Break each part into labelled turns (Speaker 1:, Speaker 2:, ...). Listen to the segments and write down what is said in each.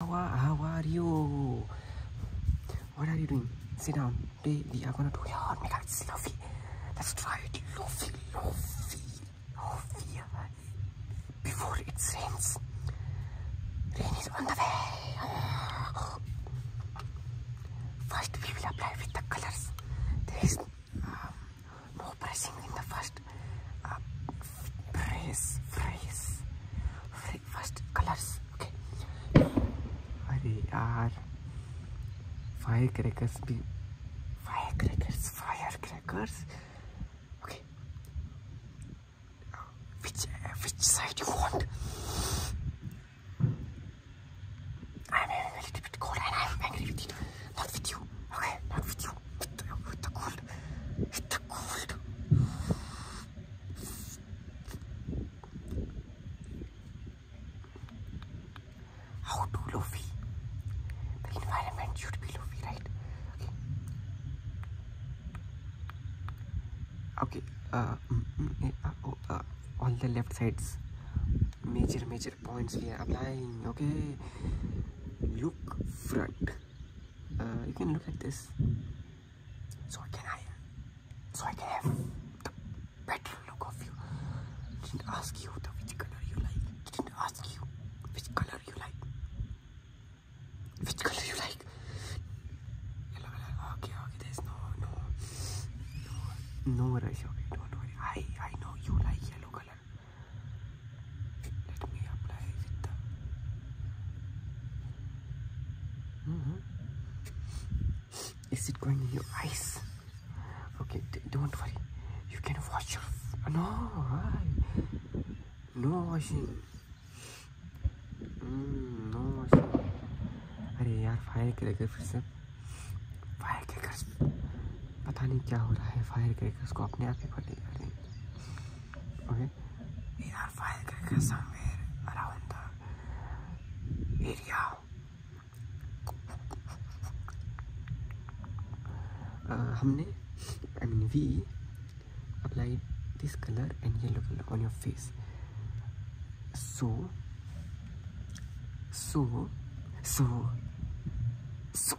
Speaker 1: How are you? What are you doing? Sit down. Today we are gonna do your makeup. It's Luffy. Let's try it. Luffy, Luffy, Luffy. Before it rains. Rain is on the way. First we will apply with the colors. There is no um, pressing in the first uh, phrase, phrase, phrase, first colors, okay. अरे यार fire crackers भी fire crackers fire crackers okay which which side you want I am having a little bit cold and I am angry with you not with you okay not with you how to Luffy. The environment should be Luffy, right? Okay. Okay. Uh, mm, mm, uh, oh, uh, all the left sides. Major, major points we are applying. Okay. Look front. Uh, you can look at this so I can I so I can have the better look of you didn't ask you the which color you like didn't ask you which color you like which color you like yellow color okay okay there's no no no, no rush okay don't worry I I know you like yellow color Let me apply with the. Mm -hmm. Is it going in your eyes? Okay, don't worry. You can wash your. No, why? No washing. Mm, no washing. अरे यार fire करेगा फिर से fire के कर पता नहीं क्या हो रहा है फायर क्रैकर्स को अपने आप ही फटे जा रहे okay we fire cracker somewhere हमने I mean we applied this color and yellow color on your face so so so so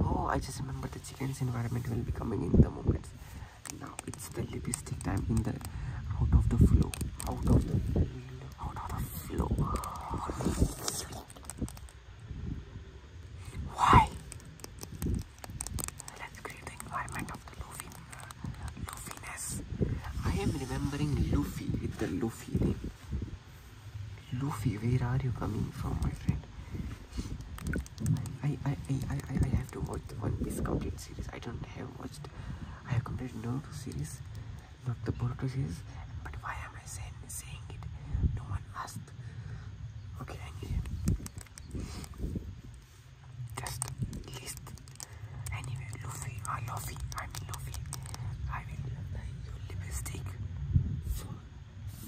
Speaker 1: Oh, I just remember the chicken's environment will be coming in the moment. Now it's the lipstick time in the out of the flow, out of the out of the flow. Why? Let's create the environment of the Luffy, I am remembering Luffy with the Luffy name. Luffy, where are you coming from, my friend? I I, I, I I have to watch the One Piece complete series. I don't have watched. I have completed Naruto series, not the Boruto series. But why am I saying saying it? No one asked. Okay, I need just list. Anyway, Luffy or uh, Luffy. I am Luffy. I will buy uh, your lipstick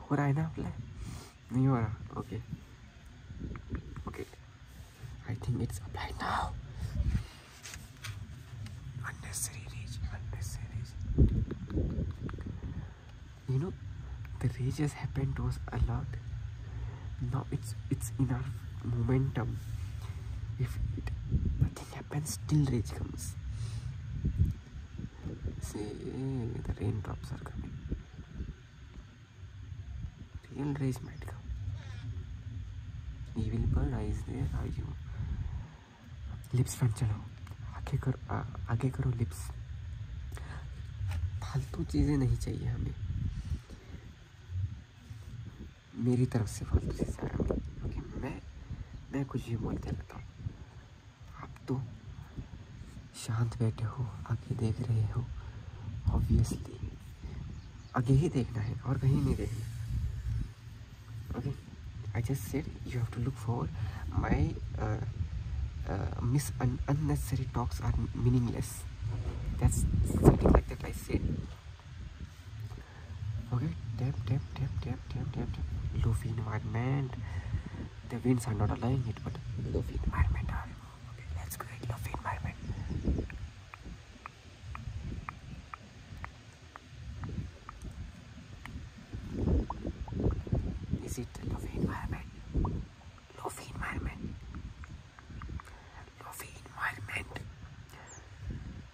Speaker 1: हो रहा है ना apply नहीं हो रहा okay okay I think it's unnecessary rage unnecessary you know the rage has happened to us a lot now it's it's in our momentum if it nothing happens still rage comes see the raindrops are coming real rage might come evil bird eyes there are you lips front चलो आगे करो आ, आगे करो lips फालतू चीज़ें नहीं चाहिए हमें मेरी तरफ से फालतू से सारा क्योंकि मैं मैं कुछ भी बोलते रहता हूँ आप तो शांत बैठे हो आगे देख रहे हो ऑब्वियसली आगे ही देखना है और कहीं नहीं देखना okay I just said you have to look for my miss unnecessary talks are meaningless that's something like that i okay tap tap tap tap tap tap tap lofi environment the winds are not allowing it but lofi environment are okay let's create lofi environment is it lofi environment lofi environment lofi environment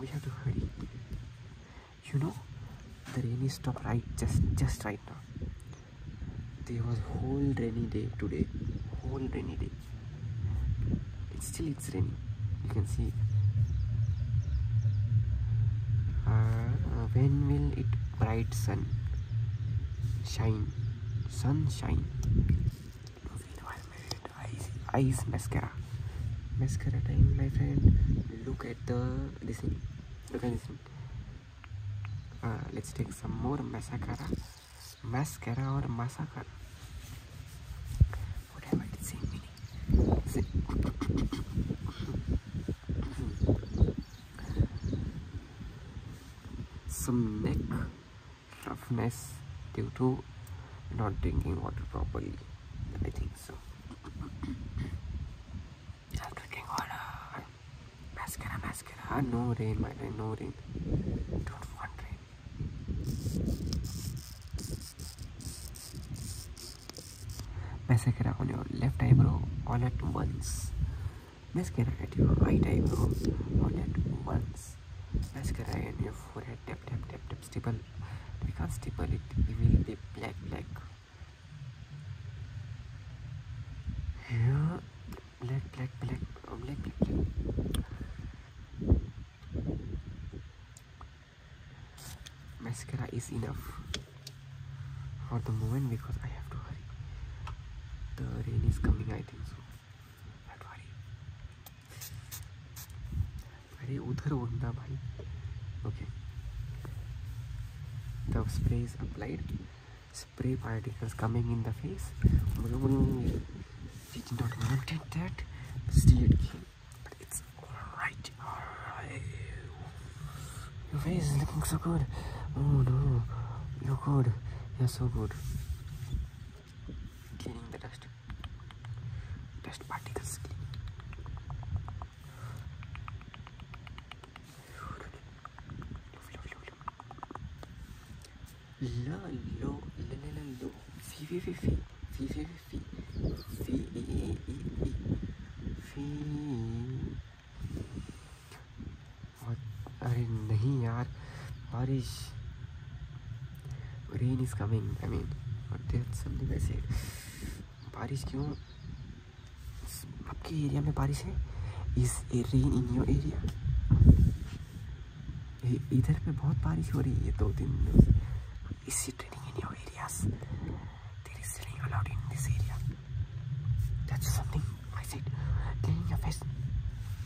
Speaker 1: we have to hurry you know the rain stopped right just just right now there was whole rainy day today whole rainy day it's still it's raining you can see uh, when will it bright sun shine sunshine Feel my favorite eyes, eyes mascara. Mascara time, my friend. Look at the this thing. Look at this thing. Uh, let's take some more mascara. Mascara or mascara. Whatever it's same meaning. Same. some neck roughness due to not drinking water properly I think so i drinking water mascara mascara ah, no rain my rain no rain don't want rain mascara on your left eyebrow all at once mascara on your right eyebrow all at once Let's forehead. Tap, tap, tap, tap. Stipple. We can't stipple it. It will black, black. Here. Black, black, oh, black, black, black. Mascara is enough for the moment because I have to hurry. The rain is coming, I think so my body. अरे उधर होता भाई okay the spray is applied spray particles coming in the face she did not wanted that still it it's all right all right your face is looking so good oh no you're good you're so good cleaning the dust dust particles لا لو لا لا لا لو في في في في في في في في في في في और अरे नहीं यार बारिश rain is coming I mean something वैसे बारिश क्यों आपके area में बारिश है is rain in your area इधर पे बहुत बारिश हो रही है दो दिन में इसी training in your in this area That's something I said. Clean your face.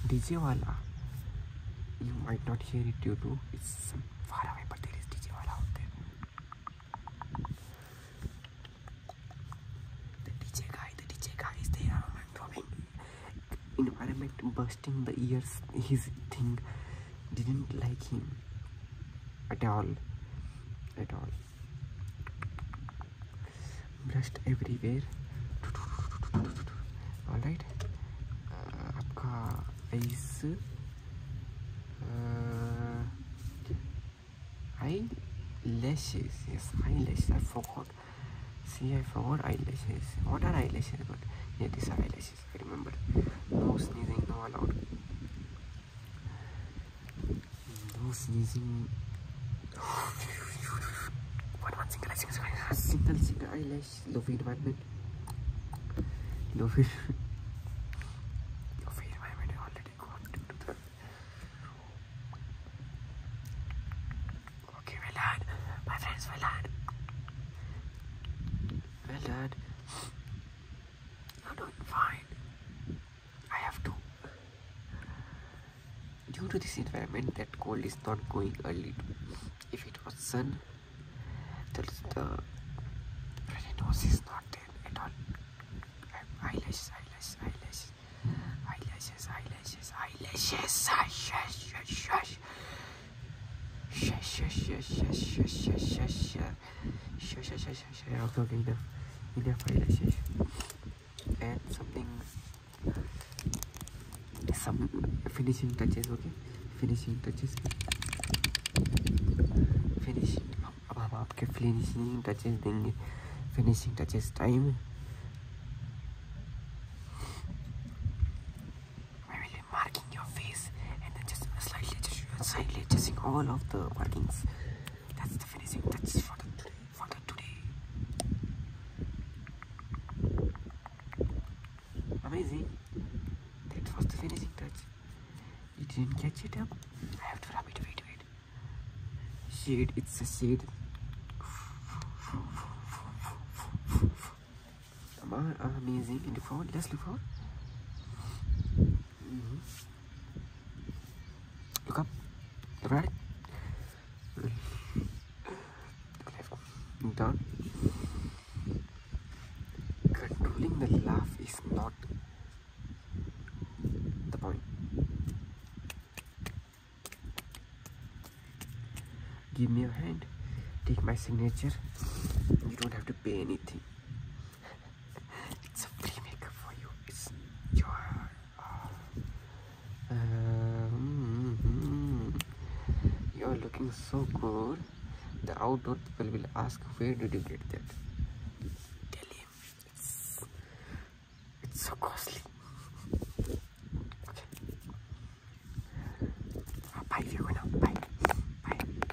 Speaker 1: DJ Wala. You might not hear it you to it's far away, but there is DJ Wala out there. The DJ guy, the DJ guy is there. Environment bursting the ears, his thing didn't like him at all. At all brushed everywhere all right uh, eyes uh, eyelashes yes eyelashes I forgot see I forgot eyelashes what are eyelashes but yeah these are eyelashes I remember no sneezing no allowed those using one one single eyelash single single eyelash lofi department lofi lofi department already gone to the okay well done my friends well done well done you're fine I have to. Due to this environment, that cold is not going early. If it was sun, the, the nose is not there at all. Eyelashes, eyelashes, eyelashes, eyelashes, eyelashes, eyelashes, eyelashes, eyelashes, eyelashes, eyelashes, eyelashes, eyelashes, eyelashes, eyelashes, eyelashes, eyelashes, eyelashes, eyelashes, eyelashes, Sure, sure, sure, sure, sure. Okay, okay, enough. Enough for relaxation. And something, some finishing touches, okay? Finishing touches. Finish अब हम आपके finishing touches देंगे finishing touches time all of the markings that's the finishing touch for the today. Amazing. That was the finishing touch. You didn't catch it up. I have to rub it. Wait, wait. Shade. It's a shade. Amazing. And the front. Let's look for. Look up. Look right. Look left. Look down. Controlling the laugh is not the point. Give me your hand. Take my signature. You don't have to pay anything it's a playmaker for you. It's your. Uh, uh, mm-hmm. You're looking so good. The outdoor people will ask, Where did you get that? Tell him it's, so costly. Okay. Uh, bye, Bye.